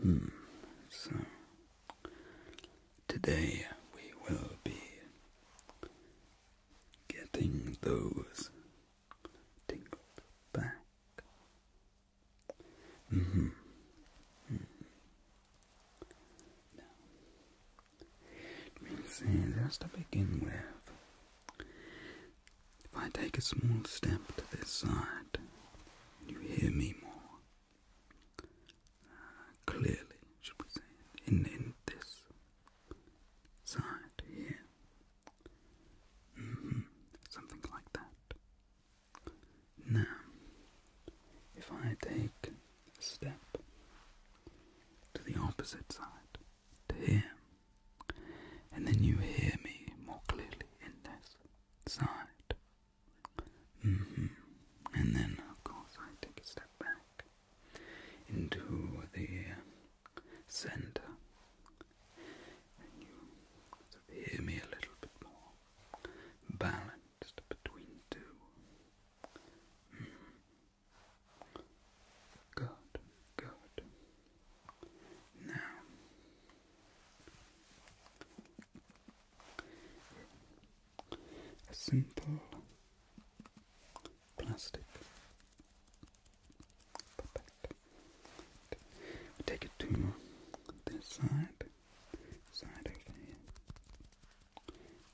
Hmm. So today we will be getting those tingled back. Mm -hmm. Now, Just to begin with, if I take a small step to this side, you hear me more uh, clearly, should we say, in, in this side here. Mm-hmm. Something like that. Now, if I take a step to the opposite side, to here and then you hear me more clearly in this side. Mm-hmm. And then, of course, I take a step back into the center, and you hear me a little bit more balanced between two. Mm-hmm. Good, good. Now, a simple plastic puppet. We take it to this side, side over here,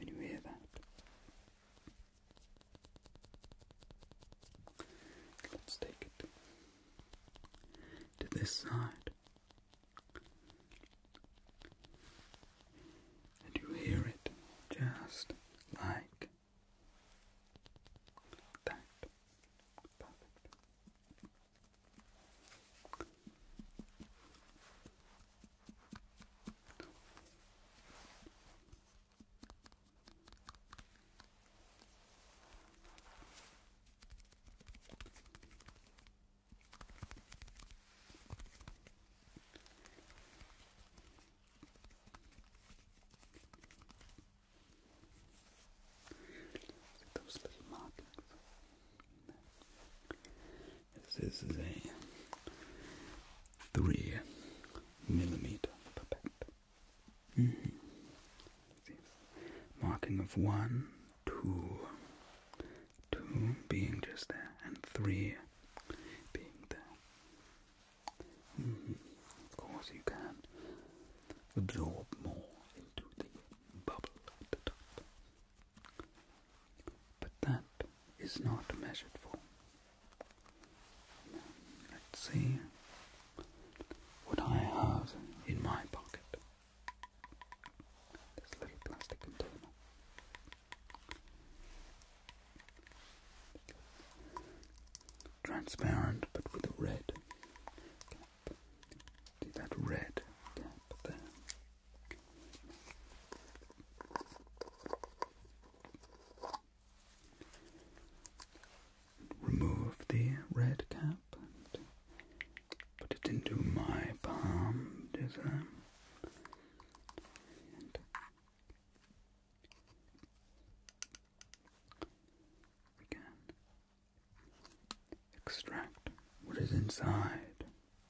and you hear that. Let's take it to this side, and you hear it just like that. Perfect. Those little markings. This is a three millimeter pipette. Mm-hmm. Marking of one, two, two being just there, and three being there. Mm-hmm. Of course, you can absorb more into the bubble at the top, but that is not measured for. Let's see what I have in my pocket. This little plastic container. Transparent but with a red cap. See that red cap there? remove the red cap and put it into my palm design. And we extract what is inside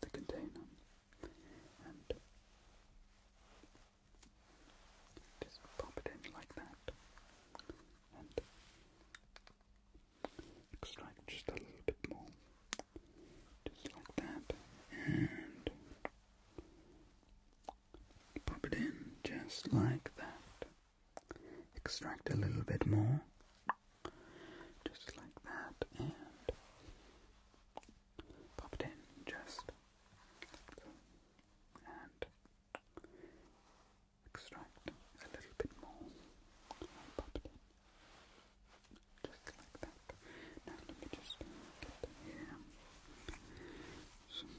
the container and just pop it in like that extract just a little bit more, just like that, and pop it in just like that. Extract a little bit more, just like that, and pop it in just extract a little bit more Just like that. Now let me just get them here. Some,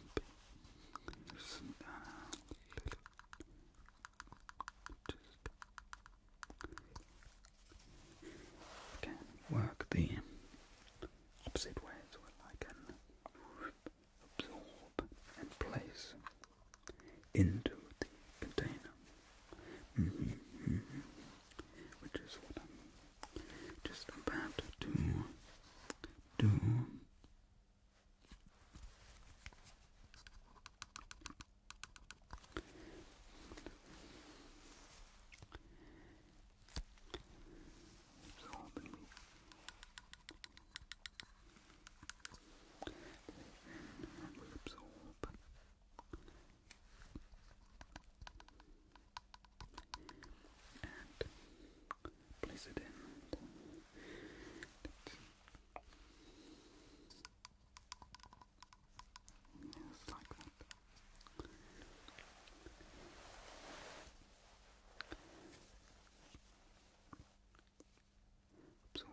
some, uh, little, just can work the opposite way as well. I can absorb and place into the container, mm-hmm. which is what I'm just about to do and will absorb and place it in. Yes, like that absorb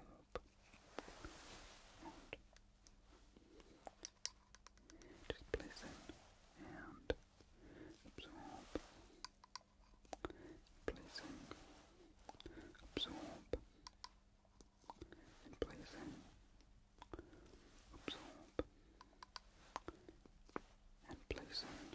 just listen and absorb placing absorb and placing absorb and placing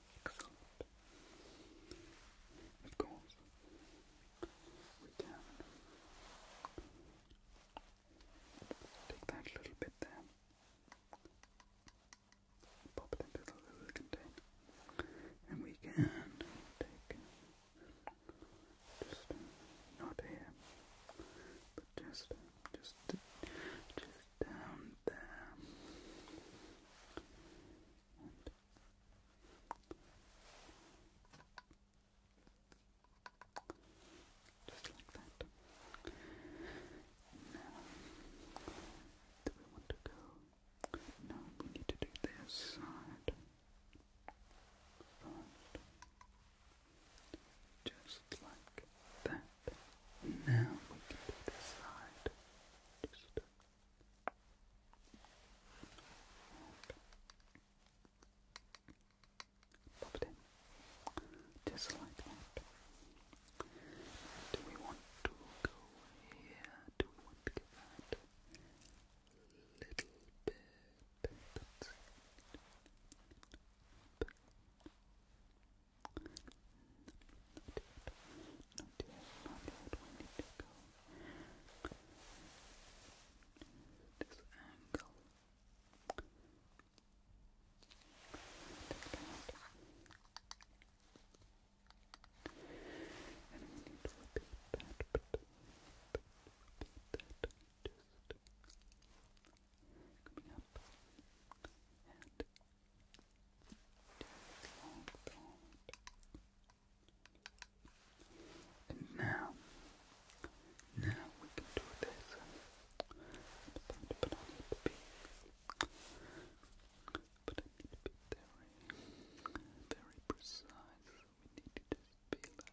Excellent. Of course, we can take that little bit there, pop it into little container, and we can take just not here, but just just down there just like that. Now, do we want to go? No, we need to do this side just like that. Now we can do this side. Just pop it in, just like that. Do we want to go here? Do we want to give that a little bit? Not yet. this angle. And we need to repeat that, repeat that, just coming up and like that. And now, now we can do this. But I need to be, very, precise. We need to be like.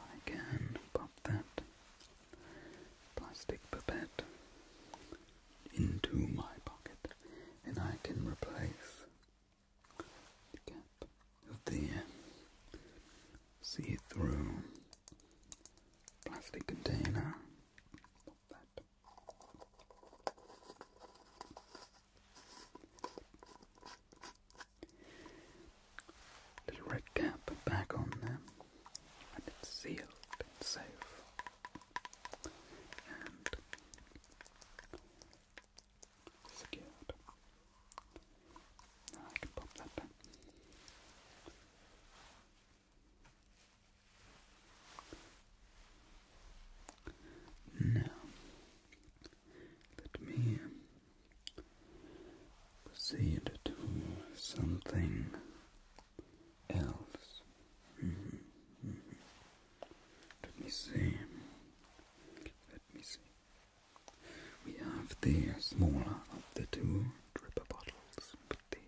I can pop that plastic pipette into my pocket and I can replace the see-through plastic container. Little red cap back on them, and it's sealed and safe. And secured. Now I can pop that back. Now let me proceed to something else. Mm-hmm. Mm-hmm. Let me see. Let me see. We have the smaller of the two dripper bottles with the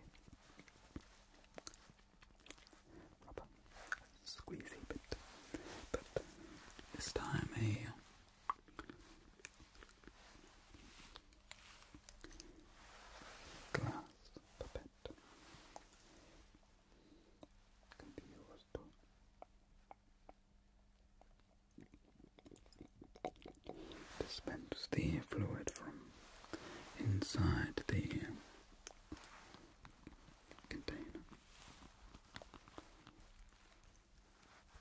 but this time a Glass puppet can be used to dispense the fluid from inside the container. Steady and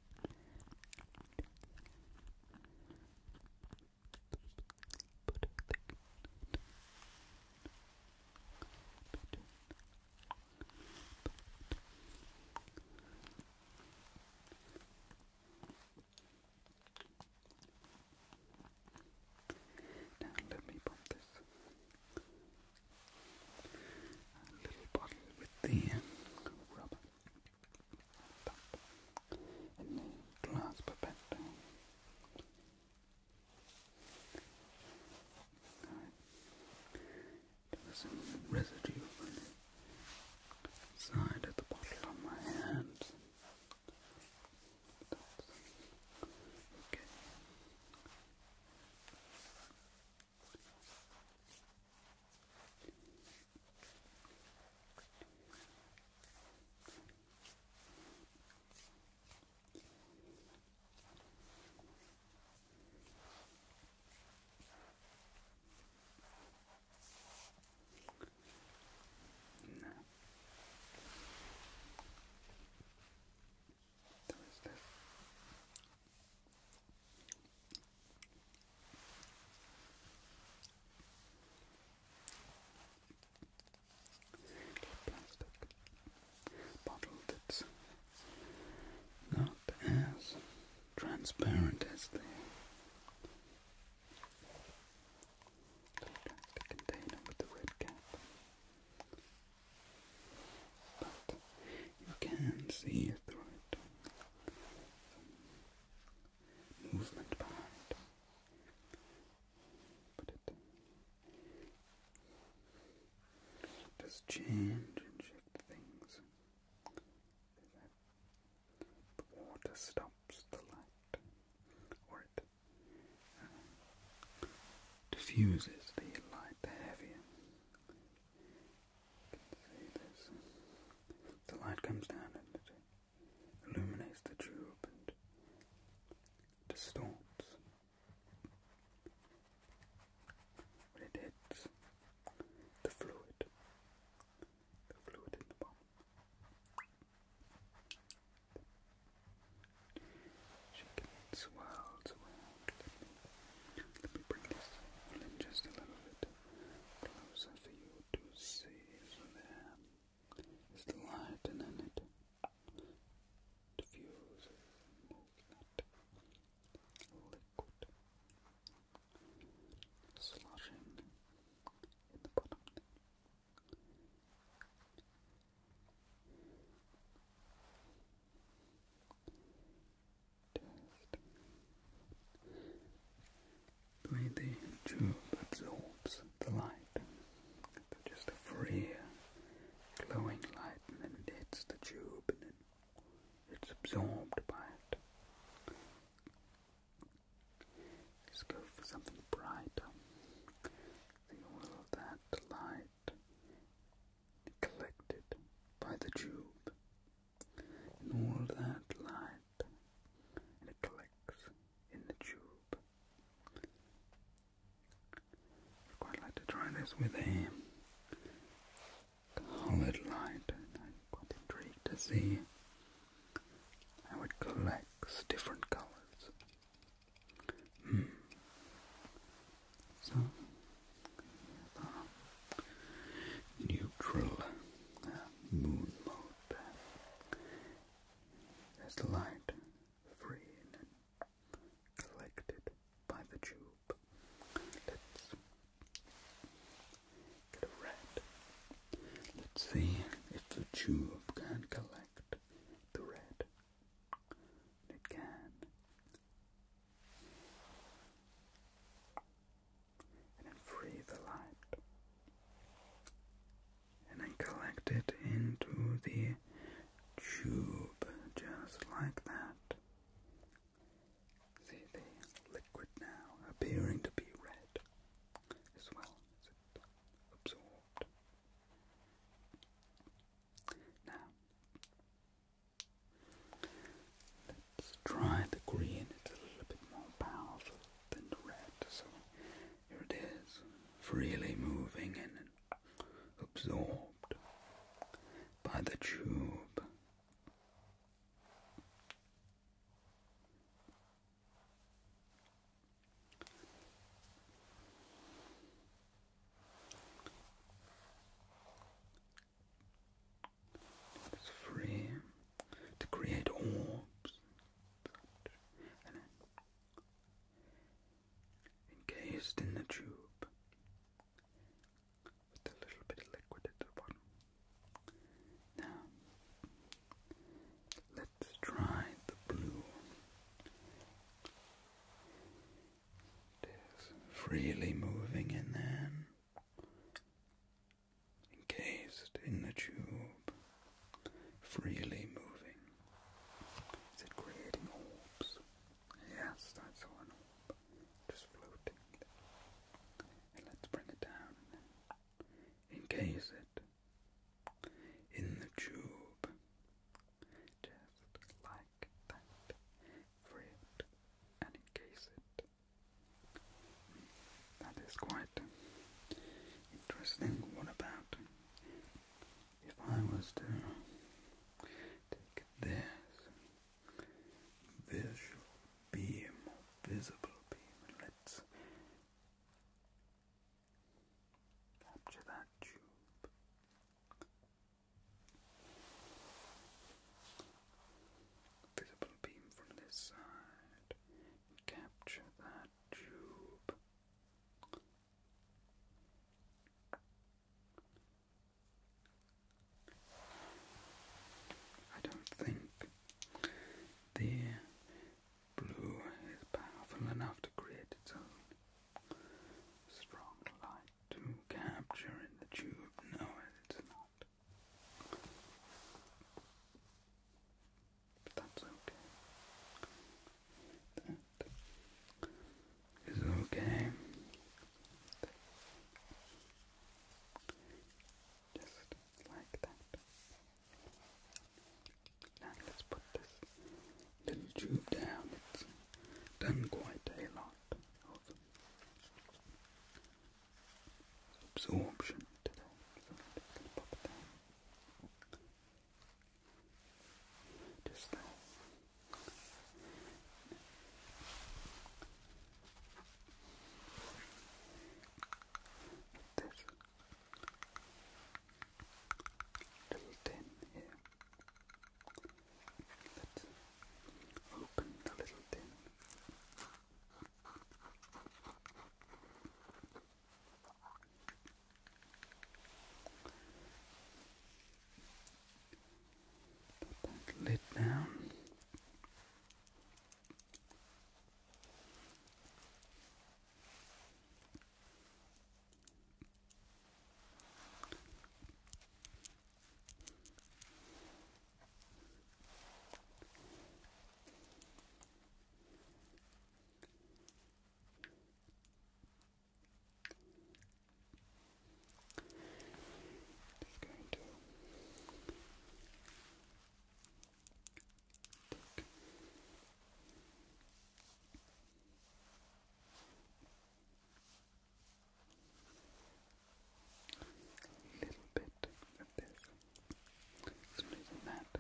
Now let me pump this uh, little bottle with the rubber in the glass perspective. There's some residue on of the bottle on my hand. Okay. No. That was this. Plastic bottle that's not as transparent as the plastic container with the red cap. But you can see through it movement behind. Put it just change things. water stops the light, or it uh, diffuses the light, heavier the light comes down and it illuminates the tube and distorts. When it hits the fluid, the fluid in the bulb. it, swirls around. let me bring this in just a little bit. Close closer for you to see. there is the light, and then it diffuses and liquid sloshing in the bottom. The the tube absorbs the light, just a free glowing light, and then it hits the tube, and then it's absorbed by it. Let's go for something brighter. See all that light collected by the tube and all that light and it collects in the tube. I'd quite like to try this with a coloured light, I'm quite intrigued to see how it collects different colours. Hmm. So, neutral uh, moon mode. There's light freed and collected by the tube. Let's get a red. Let's see if the tube can collect the red. It can and then free the light. And then collect it into the tube just like that. See the liquid now appearing to be red as well as absorbed. Now, Let's try the green, it's a little bit more powerful than the red, so here it is, freely moving and absorbed by the tube. It's free to create orbs. encased in the tube with a little bit of liquid at the bottom. Now, let's try the blue. It is freely moving in there encased in the tube, freely moving. Is it creating orbs? Yes, that's saw orb, just floating. And let's bring it down. Encase it in the tube, just like that. Free it and encase it. That is quite interesting. What about if I was to take this visual beam, visible beam, and let's capture that tube? visible beam from this side. Capture that tube. I don't think the blue is powerful enough to create its own strong light to capture in the tube. No, it's not. But that's okay. That is okay. Just like that. Now let's put this little tube down. It's done quite a lot of absorption today. just going little tin here. Let's open the little tin. Put that lid down. Just going to take a little bit of this, so is that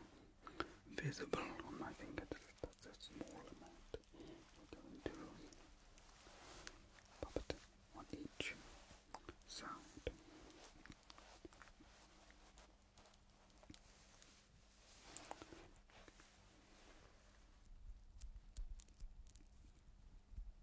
visible on my finger? a small amount. We're going to pop it on each side.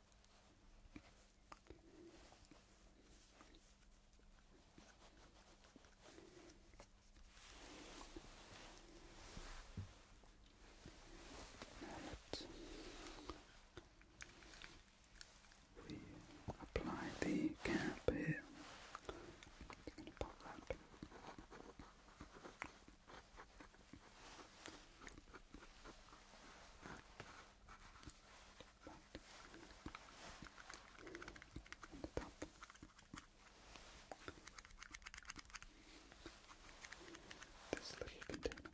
Now we apply the cap here. This little container.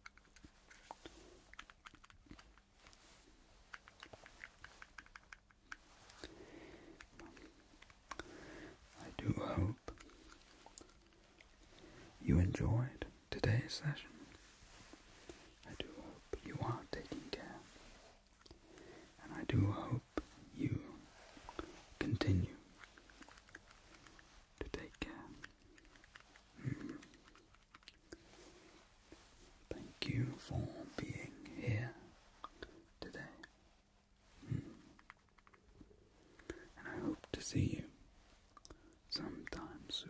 I do hope you enjoyed today's session. I do hope you are taking care, and I do hope you continue to take care. Hmm. Thank you for being here today, hmm. and I hope to see you sometime soon.